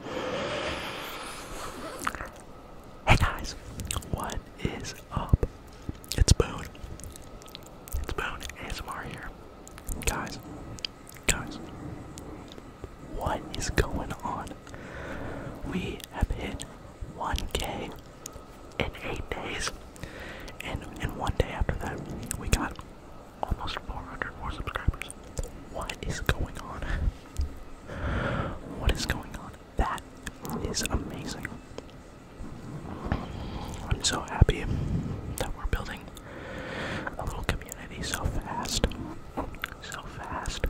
Hey guys, what is up? It's Boone. It's Boone ASMR here. Guys, guys, what is going on? We have hit 1k in 8 days, and in one day after that, we got almost 400 more subscribers. What is going on? What is going on? That is amazing. I'm so happy that we're building a little community so fast. So fast.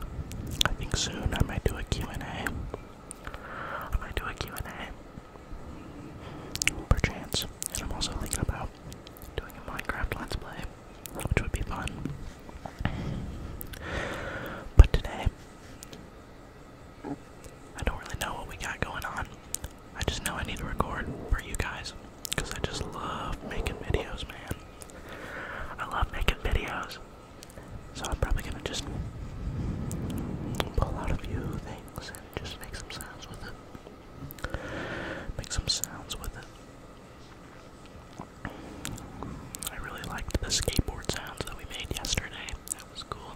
I think soon I might do a Q&A. I might do a Q&A. Perchance. And I'm also thinking about doing a Minecraft Let's Play which would be fun. But today, I don't really know what we got going on. I just know I need to record for you guys because I just love making videos, man. I love making videos. So I'm probably gonna just pull out a few things and just make some sounds with it. Make some sounds with it. I really liked the skateboard sounds that we made yesterday. That was cool.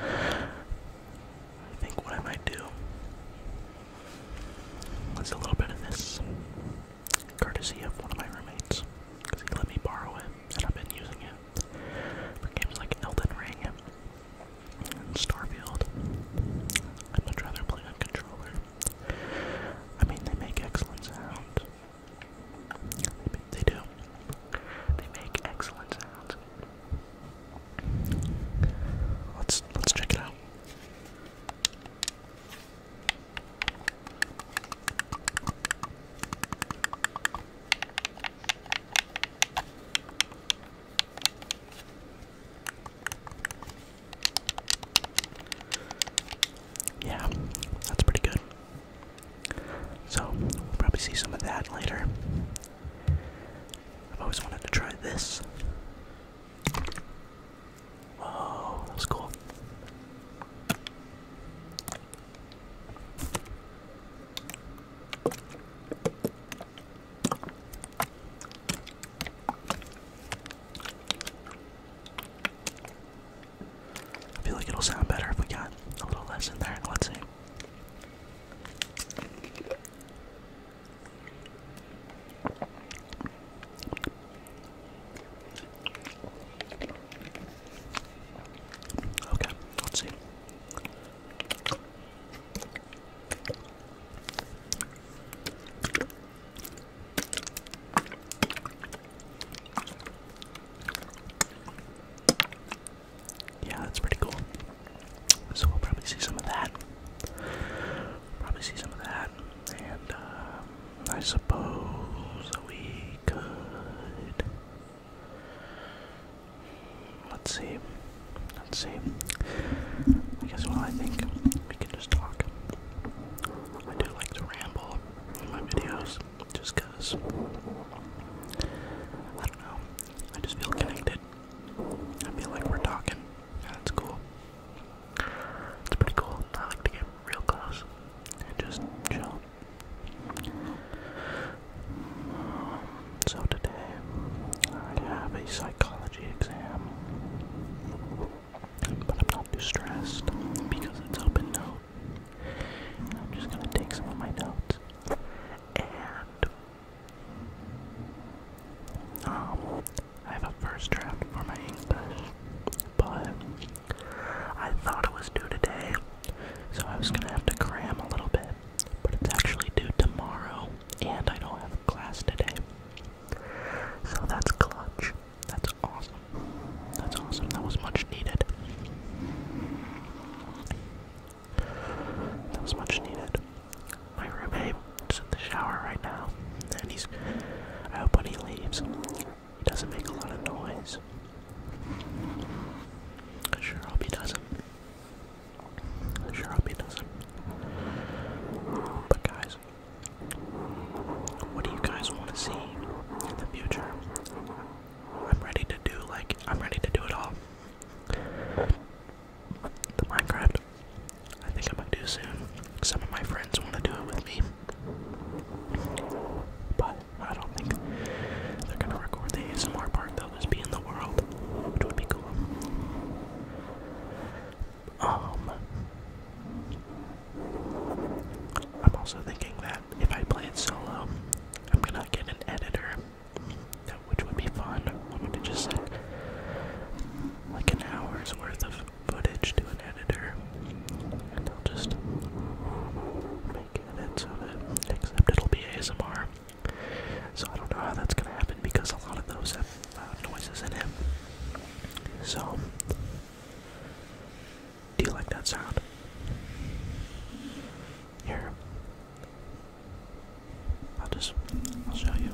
I think what I might do is a little bit of this, courtesy of one of my roommates, because he let me borrow it, and I've been using it for games like Elden Ring and Starfield. I'd much rather play on controller. I mean, they make excellent sounds. They, do. They make excellent sounds. Let's let's check it out. Yeah, that's pretty good. So, we'll probably see some of that later. I've always wanted to try this. Whoa, that cool. I feel like it'll sound better if we got a little less in there. Let's see. Okay, let's see. Yeah, that's pretty cool. So we'll probably see some of that. Probably see some of that. And um, I suppose we could. Let's see. Let's see. I guess, well, I think we can just talk. I do like to ramble in my videos just because I don't know. I just feel connected. I feel like we're talking. that's cool. It's pretty cool. I like to get real close and just chill. So today I have a psychology exam. But I'm not too stressed because it's open note. I'm just gonna take some of my notes and um I have a first draft for my English, but I thought it was due today, so I was gonna have to cram a little bit. But it's actually due tomorrow, and I don't have class today. So that's clutch. That's awesome. That's awesome. That was much needed. That was much needed. My roommate is in the shower right now, and he's. I hope when he leaves, he doesn't make a lot of noise. sure hope he doesn't. sure hope he doesn't. But guys, what do you guys want to see in the future? I'm ready to do like I'm ready to do it all. The Minecraft. I think I am gonna do soon. Some of my friends want to do it with me. But I don't think they're gonna record the ASMR They'll just be in the world, which would be cool. Um, I'm also thinking that if I play it solo, I'm gonna get an editor, which would be fun. I am going to just send like an hour's worth of footage to an editor, and they'll just make edits of it, except it'll be ASMR. So I don't know how that's gonna happen because a lot of those uh, noises in him. So, do you like that sound? Here, I'll just I'll show you.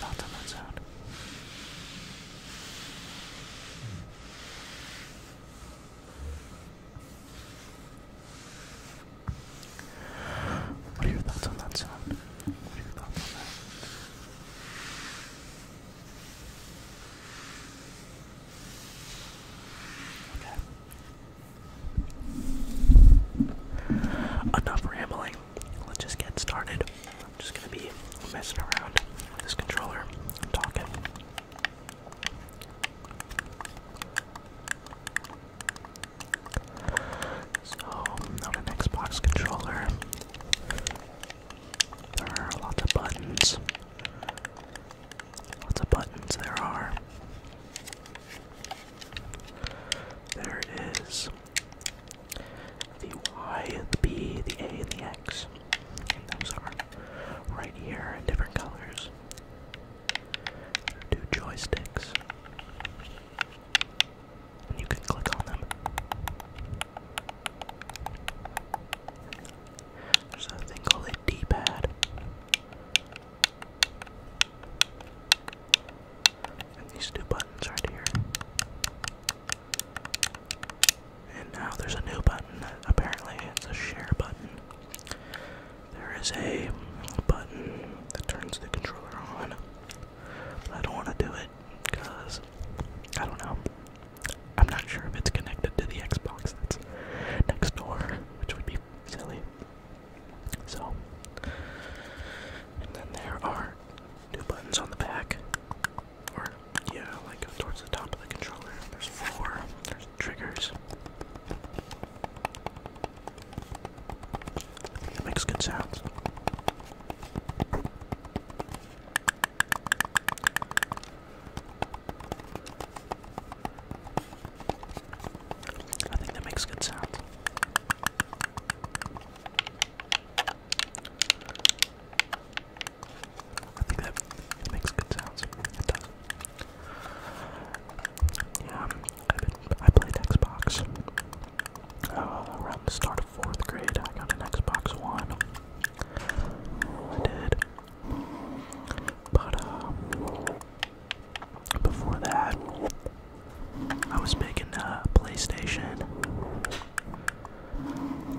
What are that sound? What are your thoughts on that sound? What are your thoughts on that? Enough rambling. Let's just get started. I'm just gonna be messing around with this controller talking. So, not an Xbox controller. There are lots of buttons. Lots of buttons there are. There is the Y, and the B, the A, and the X. And those are right here, different colors. Two joysticks. you can click on them. There's a thing called a D-pad. And these two buttons right here. And now there's a new button. Apparently, it's a share button. There is a button that turns the controller on. I don't want to do it because I don't know. I'm not sure if it's connected to the Xbox that's next door, which would be silly. So, and then there are two buttons on the back or yeah, like towards the top of the controller. There's four. There's triggers. That makes good sounds. I think that makes good sound. I think that makes good sounds. It does. Yeah, um, I've been, I played Xbox uh, around the start of fourth grade. I got an Xbox One. I did, but uh, before that, I was making a uh, PlayStation.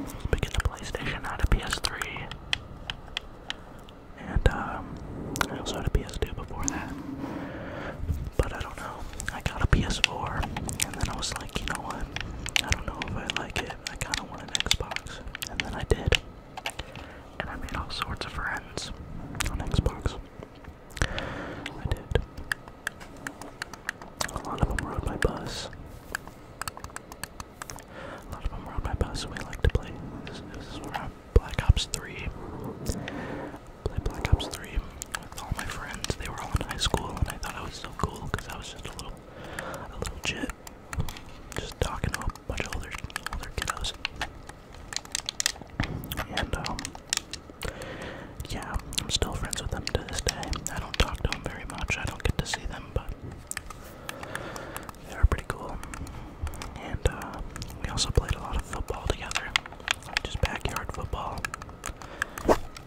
Speaking of PlayStation, I a PS3. And um, I also had a PS2 before that. But I don't know. I got a PS4, and then I was like, you know what? I don't know if I like it. I kind of want an Xbox. And then I did. And I made all sorts of friends on Xbox. I did. A lot of them rode my bus. A lot of them were on my bus. We like to play. This, is where I Black Ops 3. Played Black Ops 3 with all my friends. They were all in high school, and I thought I was so cool because I was just a little, a little chit, just talking to a bunch of other, older kiddos. And um, yeah, I'm still friends with them to this day. I don't talk to them very much. I don't get to see them, but they were pretty cool. And uh, we also played a lot of football together, just backyard football.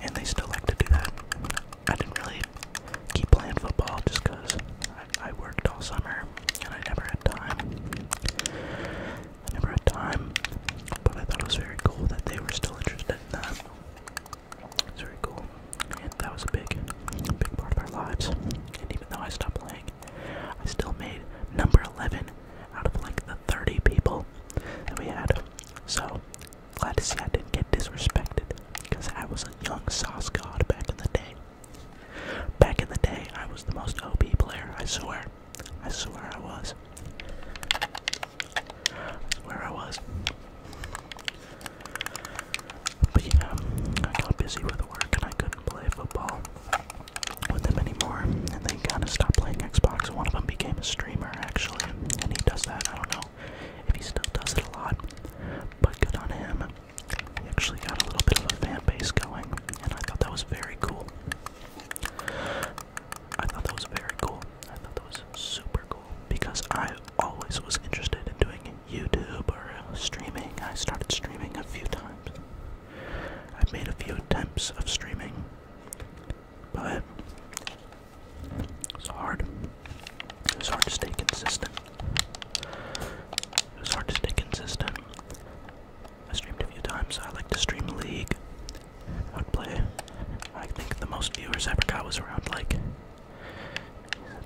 And they still like to do that. I didn't really keep playing football just because I, I worked all summer and I never had time. I never had time, but I thought it was very cool that they were still interested in that. It's very cool. And that was a big, big part of our lives. And even though I stopped playing, I still made number 11 out of like the 30 people that we had. So, glad to see I didn't get disrespected because I was a young sauce god back in the day. Back in the day, I was the most ob player, I swear. I swear I was. I swear I was. But yeah, I got busy with work and I couldn't play football with them anymore. And they kind of stopped playing Xbox. One of them became a streamer, actually. And he does that. I don't know if he still does it a lot. But good on him. He actually got a little bit of a fan base going. And I thought that was very cool. I thought that was very cool. I thought that was super cool because I always was interested in doing YouTube or uh, streaming. I started streaming a few times. I've made a few attempts of streaming, but it's hard. It was hard to stay consistent. It was hard to stay consistent. I streamed a few times. I like to stream League. I would play. I think the most viewers I ever got was around like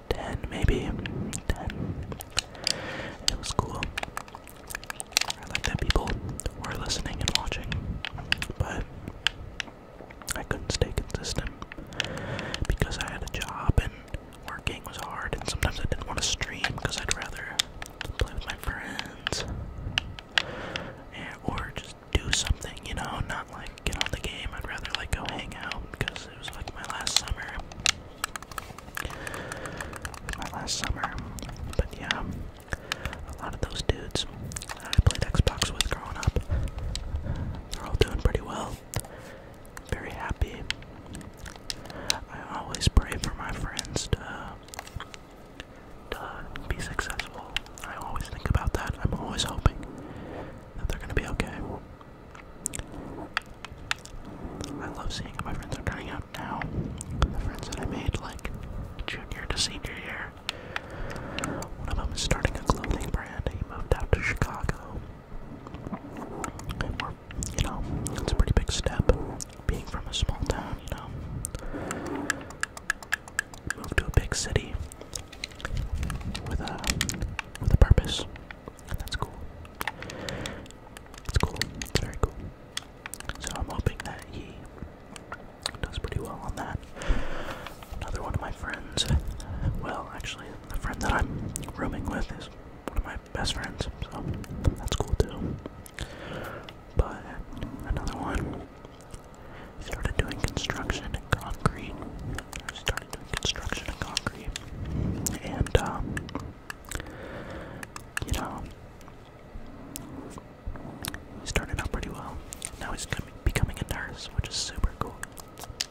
10 maybe 10 it was cool i like that people were listening and watching but i couldn't stay consistent because i had a job and working was hard and sometimes i didn't want to stream because i'd rather play with my friends and, or just do something you know not like get out the game. I'd rather like go hang out because it was like my last summer. My last summer. But yeah, a lot of those dudes I played Xbox with growing up. They're all doing pretty well. Very happy. I always pray for my friends to, to be successful. I always think about that. I'm always hoping that they're gonna be okay. I love seeing how my friends are turning out now. The friends that I made like junior to senior year. One of them is starting a clothing brand. He moved out to Chicago. And you know, it's a pretty big step being from a small town, you know. Move to a big city with a with a purpose. And that's cool. It's cool. It's very cool. So I'm hoping that he does pretty well on that. Another one of my friends. Well, actually, a friend that I'm rooming with is one of my best friends, so that's cool too. But another one started doing construction and concrete. Started doing construction and concrete. And, um, you know, he started out pretty well. Now he's becoming a nurse, which is super cool.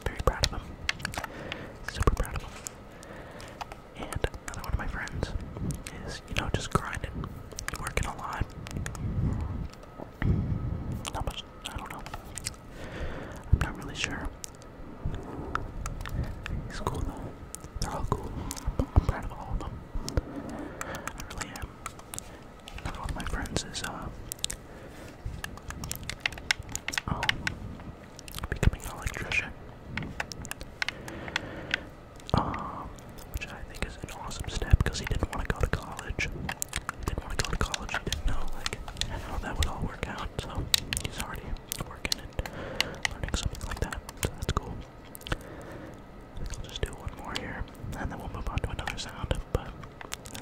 Very proud of him. Super proud of him. And another one of my friends is, you know, just grinding, working a lot. How much? I don't know. I'm not really sure. It's cool though. They're all cool. I'm proud of all of them. I really am. one of my friends is, um, becoming an electrician. Um, which I think is an awesome step because he didn't want to go to college didn't to go to college. He didn't know like how that would all work out. So he's already working and learning something like that. So that's cool. I will just do one more here, and then we'll move on to another sound. But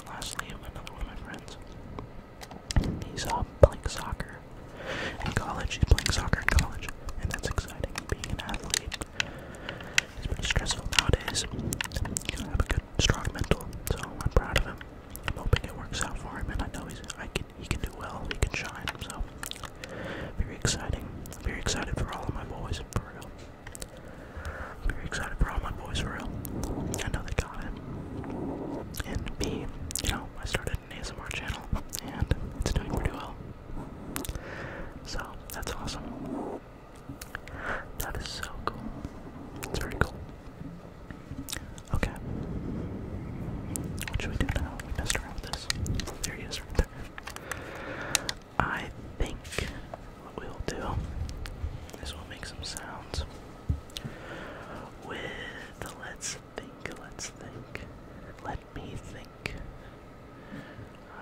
lastly, another one of my friends. He's uh, playing soccer in college. He's playing soccer in college, and that's exciting. Being an athlete is pretty stressful nowadays. have a good strong mental, so I'm proud of him. I'm hoping it works out for him, and I know he's, I can, he can do well, he can shine, so very exciting. Very excited for all of my boys, for real. Very excited for all my boys, for real. I know they got him. And me, you know, I started an ASMR channel, and it's doing pretty well. So, that's awesome. That is so cool. It's very cool. Okay. What should we do now? We messed around with this. There he is right there. I think what we'll do is we'll make some sounds with let's think, let's think. Let me think.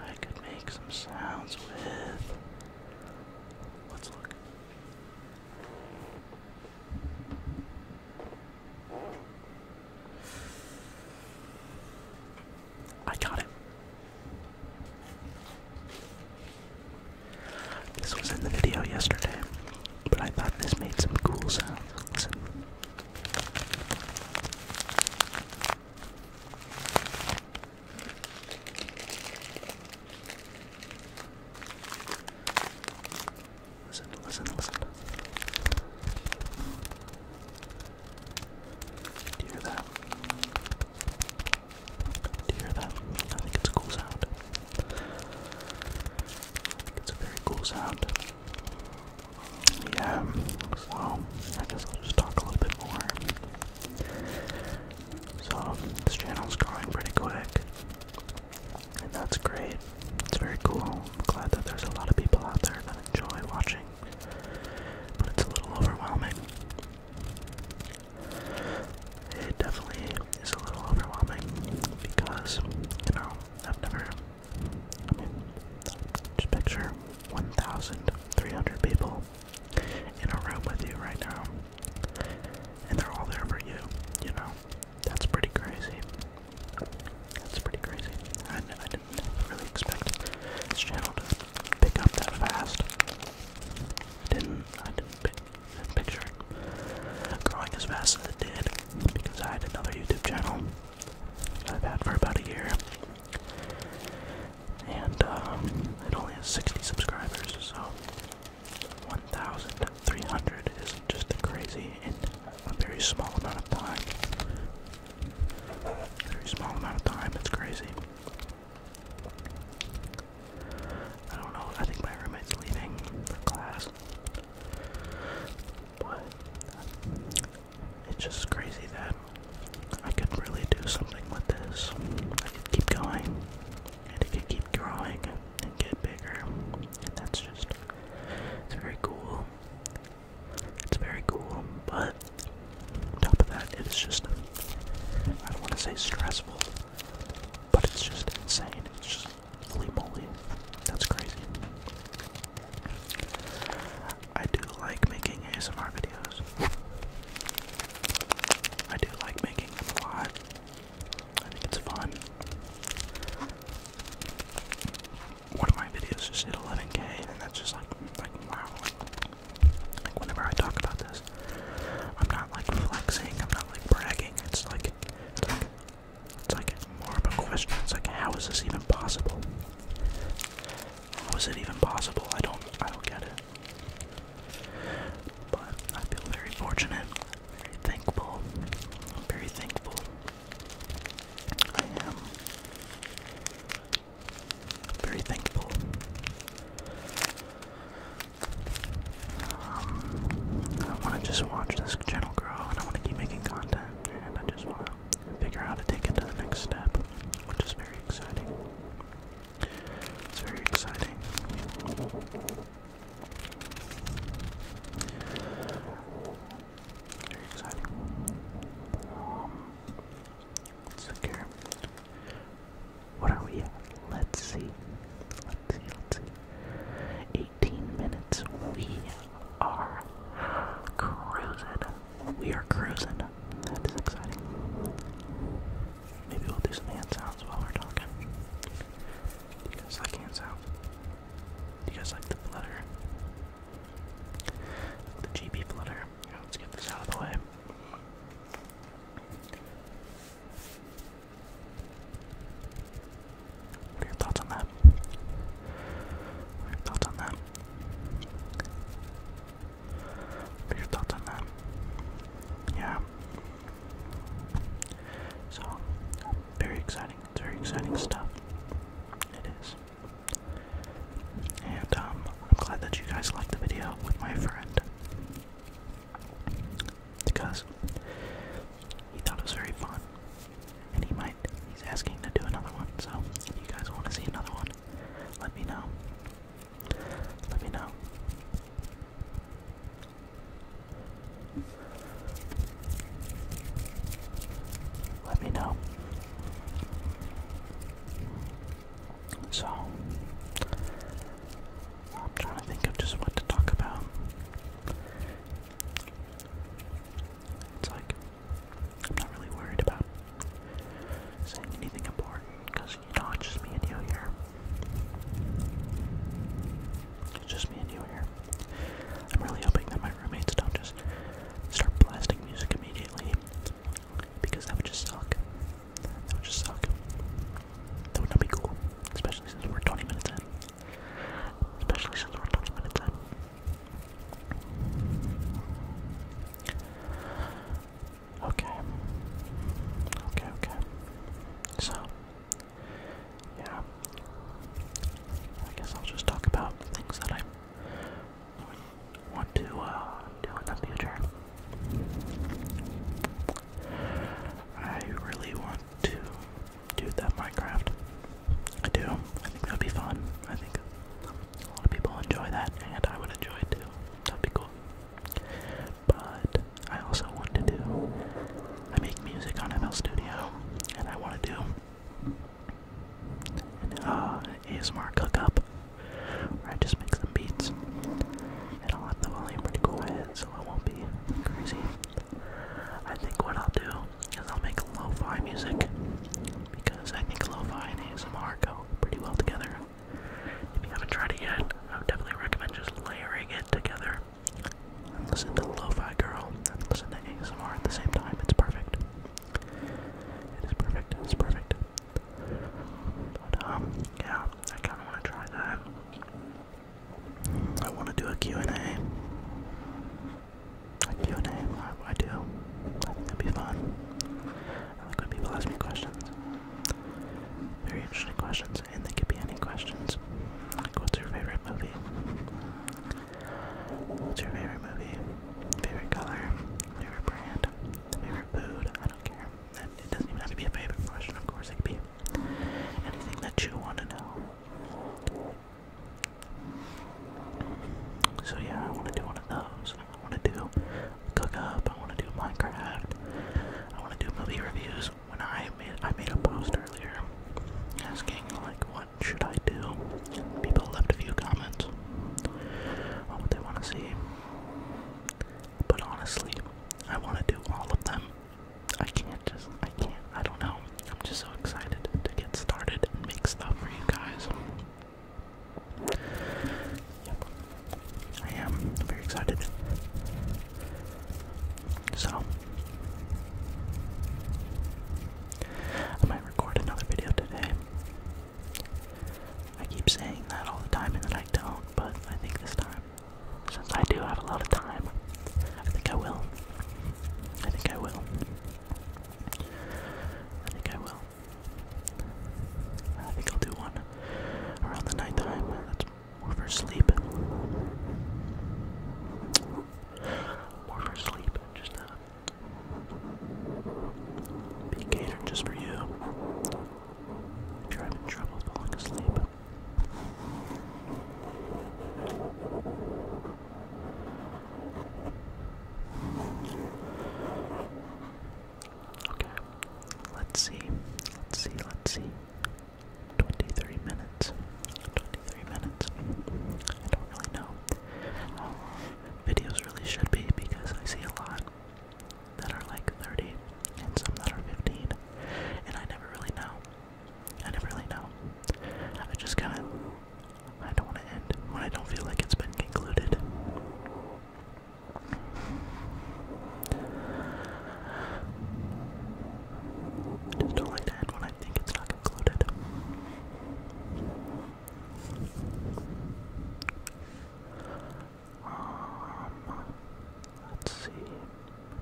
I could make some sounds with. Let's look. I got him. This was in the video yesterday, but I thought this made some cool sounds. Listen, listen, listen. Do you hear that? Do you hear that? I think it's a cool sound. I think it's a very cool sound. Yeah, so I guess I'll just talk a little bit more so this channel is growing pretty quick. And that's great. It's very cool. I'm glad that there's a lot of people out there that enjoy watching. But it's a little overwhelming. It definitely is a little overwhelming because, you know, I've never, I mean, just picture 1,300 people in a room with you right now. And they're all there for you, you know? That's pretty crazy. That's pretty crazy. I, I didn't really expect this channel to pick up that fast. I didn't, I didn't, pick, didn't picture it growing as fast as it did because I had another YouTube channel that I've had for about a year and uh, it only has 60 subscribers, so 1,300 is just crazy in a very small amount of time. Very small amount of time, it's crazy. I don't know, I think my roommate's leaving for class. But uh, it's just crazy that I could really do something with this. I could keep going and it can keep growing and get bigger. And that's just, it's very cool. It's very cool, but on top of that, it's just, I don't want to say stressful, but it's just insane. It's just holy moly. That's crazy. I do like making ASMR videos. I do like making them a lot. I think it's fun. One of my videos just hit 11k, and that's just like, like wow. Like whenever I talk about this, I'm not like flexing. I'm not like bragging. It's like, it's like, it's like more of a question. It's like, how is this even possible? How is it even possible? I don't, I don't get it. But I feel very fortunate, very thankful, very thankful. I am very thankful. Um, I want to just watch this channel grow, and I want to keep making content, and I just want to figure out how to take it to the next step, which is very exciting. It's very exciting. Very exciting. Um, let's look What are we Let's see. Let's see, let's see. 18 minutes. We are cruising. We are cruising. That is exciting. Maybe we'll do some hand sounds while we're talking. Do you guys like hand sounds? Do you guys like the flutter? The GB flutter. let's get this out of the way. What are your thoughts on that? thoughts on that? your thoughts on that? Yeah. So, very exciting. It's very exciting stuff. It is. And um, I'm glad that you guys liked the video with my friend. Because he thought it was very fun. And he might, he's asking to do another one. So, if you guys want to see another one, let me know let me know. Let me know. So, I'm trying to think of just what to talk about. It's like, I'm not really worried about saying anything important. Because, you know, it's just me and you here. It's just me and you here. I'm really hoping that my roommates don't just start blasting music immediately. Because that would just suck. That would just suck. That would not be cool. Especially since we're 20 minutes in. Especially since we're 20 minutes in. Okay. Okay, okay. So, yeah. I guess I'll just talk about things that I want to uh, do in the future. I really want to do that Minecraft. I do. I think that'd be fun. I think a lot of people enjoy that, and I would enjoy it too. That'd be cool but I also want to do. I make music on ML Studio, and I want to do an uh, ASMR cook-up, where I just make some beats, and I'll have the volume pretty cool ahead, so it won't be crazy. I think what I'll do is I'll make lo-fi music, because I think lo-fi and ASMR go pretty well together. If you haven't tried it yet, I would definitely recommend just layering it together. listen to Lo-Fi Girl listen to ASMR at the same time. It's perfect. It is perfect. It's perfect. But, um, yeah, I kind of want to try that. I want to do a Q&A. A and a do. I would be fun. I like when people ask me questions. Very interesting questions, and they could be any questions. Like, what's your favorite movie? What's your favorite movie? Favorite color? Favorite brand? Favorite food? I don't care. It doesn't even have to be a favorite question, of course, it could be anything that you want to know. So, yeah, I want to do one of those. I want to do cook up. I want to do Minecraft. I want to do movie reviews. When I made I made a post earlier asking like what should I do, people left a few comments on what they want to see. But honestly, I want to do all of them. I can't just, I can't, I don't know. I'm just so excited to get started and make stuff for you guys. Yep. I am very excited. So, I might record another video today. I keep saying that all the time and then I don't, but I think this time, since I do have a lot of time, I think I will. I think I will. I think I will. I think I'll do one around the nighttime. That's more for sleep. More for sleep, just not be catered just for you. If you trouble falling asleep. Okay. Let's see. Let's see. Let's see. 23 minutes. 23 minutes. I don't really know how long videos really should be because I see a lot that are like 30 and some that are 15 and I never really know. I never really know. I just kind of I don't want to end when I don't feel like it's been concluded. I just don't like to end when I think it's not concluded. Um, let's see.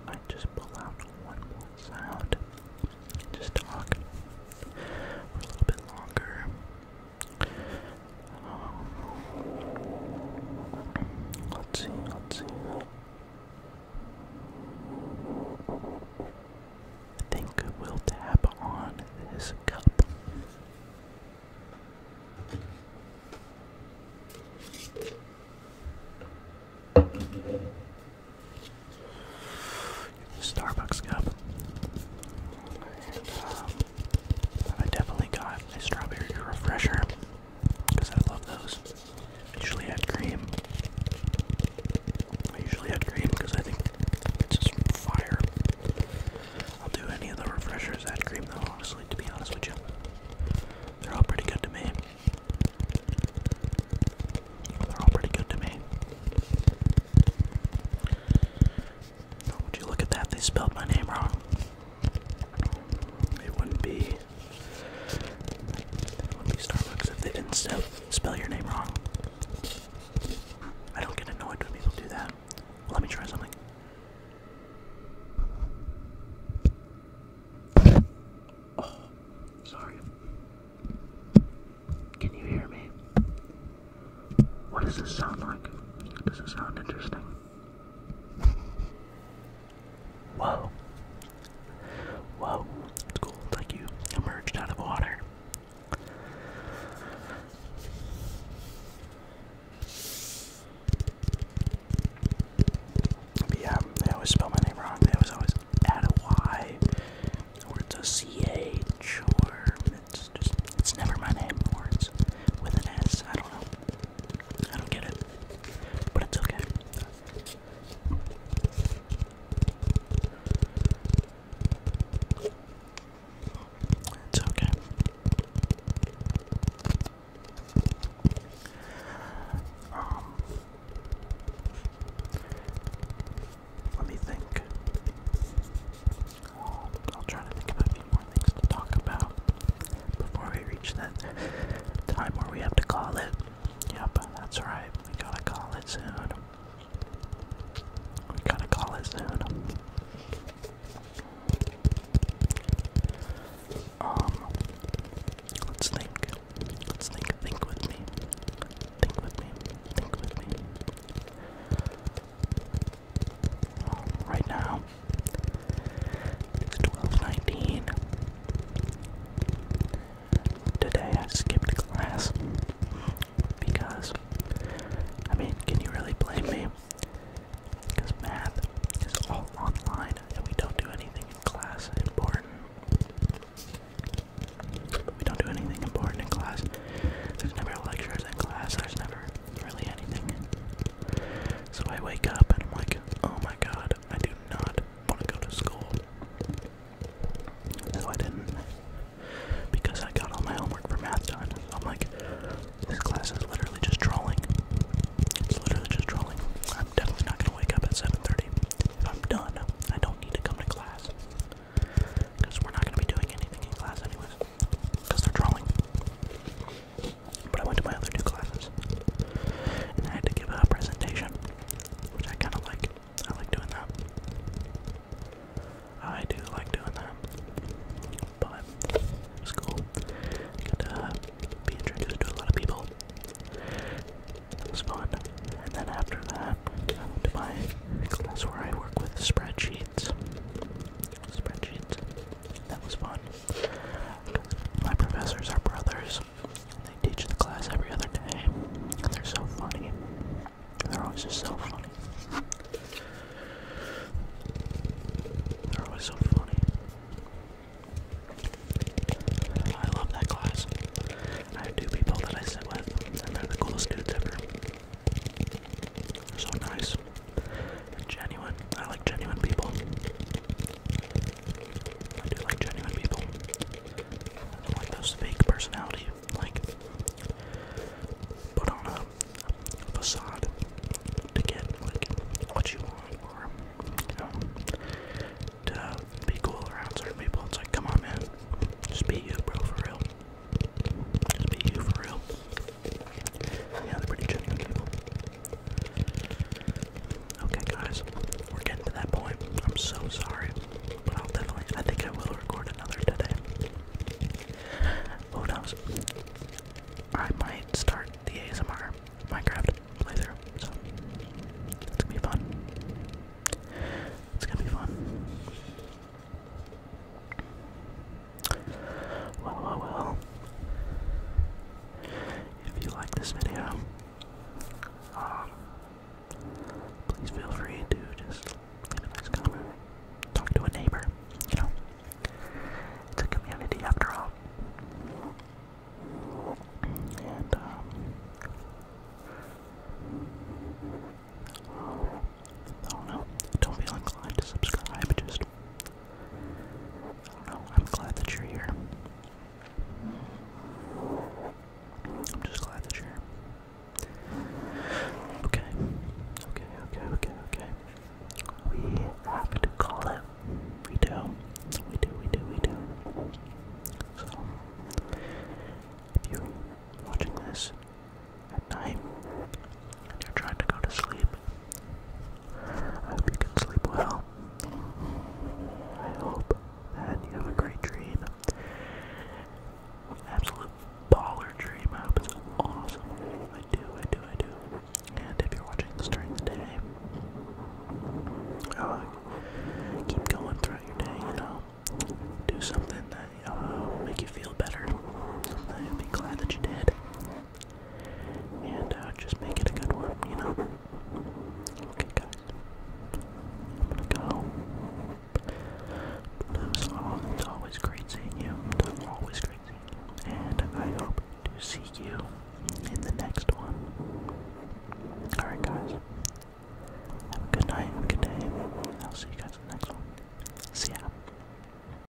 I just pull out one more sound and just talk for a little bit longer. Let's see, let's see. I think we'll tap on this cup. Starbucks cup. Um, I definitely got my strawberry refresher because I love those. usually had cream. I usually had cream because I think it's just fire. I'll do any of the refreshers that cream though, honestly, to be honest with you. They're all pretty good to me. They're all pretty good to me. Would you look at that? They spelled my name wrong. It wouldn't be. Starbucks if they didn't spell, your name wrong. I don't get annoyed when people do that. let me try something. Oh, sorry. Can you hear me? What does this sound like? Does it sound interesting? Whoa. Whoa. It's cool. It's like you emerged out of water. But they always spell my name wrong. They always always add a Y or it's a it's just it's never my name or with an S. I don't know. I don't get it. But it's okay. It's okay. Um, let me think. I'll try to think of a few more things to talk about before we reach that time where we have to call it. Yep, that's right. We gotta call it soon. We gotta call it soon. Um, let's think. Let's think. Think with me. Think with me. Think with me right now. It's 12:19. Today I skipped class because I mean, can you really blame me? Because math is all online and we don't do anything in class important. We don't do anything important in class. There's never lectures in class. There's never really anything. So I wake up and I'm like, oh my god, I do not want to go to school. So I didn't. Because I got all my homework for math done. I'm like, this class is literally just trolling. It's literally just trolling. I'm definitely not gonna wake up at 7:30. If I'm done, I don't need to come to class. Because we're not gonna be doing anything in class anyways because they're drawing, But I went to my other two classes, and I had to give a presentation, which I kind of like. I like doing that. I do like doing that, but it was cool. to uh, be introduced to a lot of people. It was fun. And then after that, I went to my class where I work with spreadsheets spreadsheets. That was fun. My professors are brothers. They teach the class every other day. they're so funny. They're always so funny. They're always so funny. I love that class. I have two people that I sit with, they're the coolest dudes ever. so nice. Genuine. I like genuine people. I do like genuine people. I don't like those fake personality, like put on a, facade to get like what you want or you know to be cool around certain people. It's like come on man. Just be you bro for real. be you for real. Yeah, they're pretty genuine people. Okay, guys, we're getting to that point. I'm so sorry, but I'll definitely. I think I will record another today. Who knows? I might start the ASMR Minecraft playthrough, so it's gonna be fun. It's gonna be fun. Well, well, well. If you like this video, um, please feel free to just leave a nice comment, talk to a neighbor, you know. It's a community after all. And, um,. Um, Don't feel inclined to subscribe. Just I am glad that you're here. I'm just glad that you're Okay. Okay, okay, okay, okay. We have to call it. We do. We do, we do, we do. So, if you're watching this at night and you're trying to go to sleep, I hope you can sleep well. I hope that you have a great dream. Absolute baller dream. I hope it's awesome. I do, I do, I do. And if you're watching this during the day, uh, keep going throughout your day, you know. Do something that uh, will make you feel better. Something you'll be glad that you did and uh, just make it a good one, you know? Okay, guys. I'm gonna go. Blues all, it's always great seeing you. always great seeing you. And I hope to see you in the next one. Alright, guys. Have a good night, have a good day. I'll see you guys in the next one. See ya.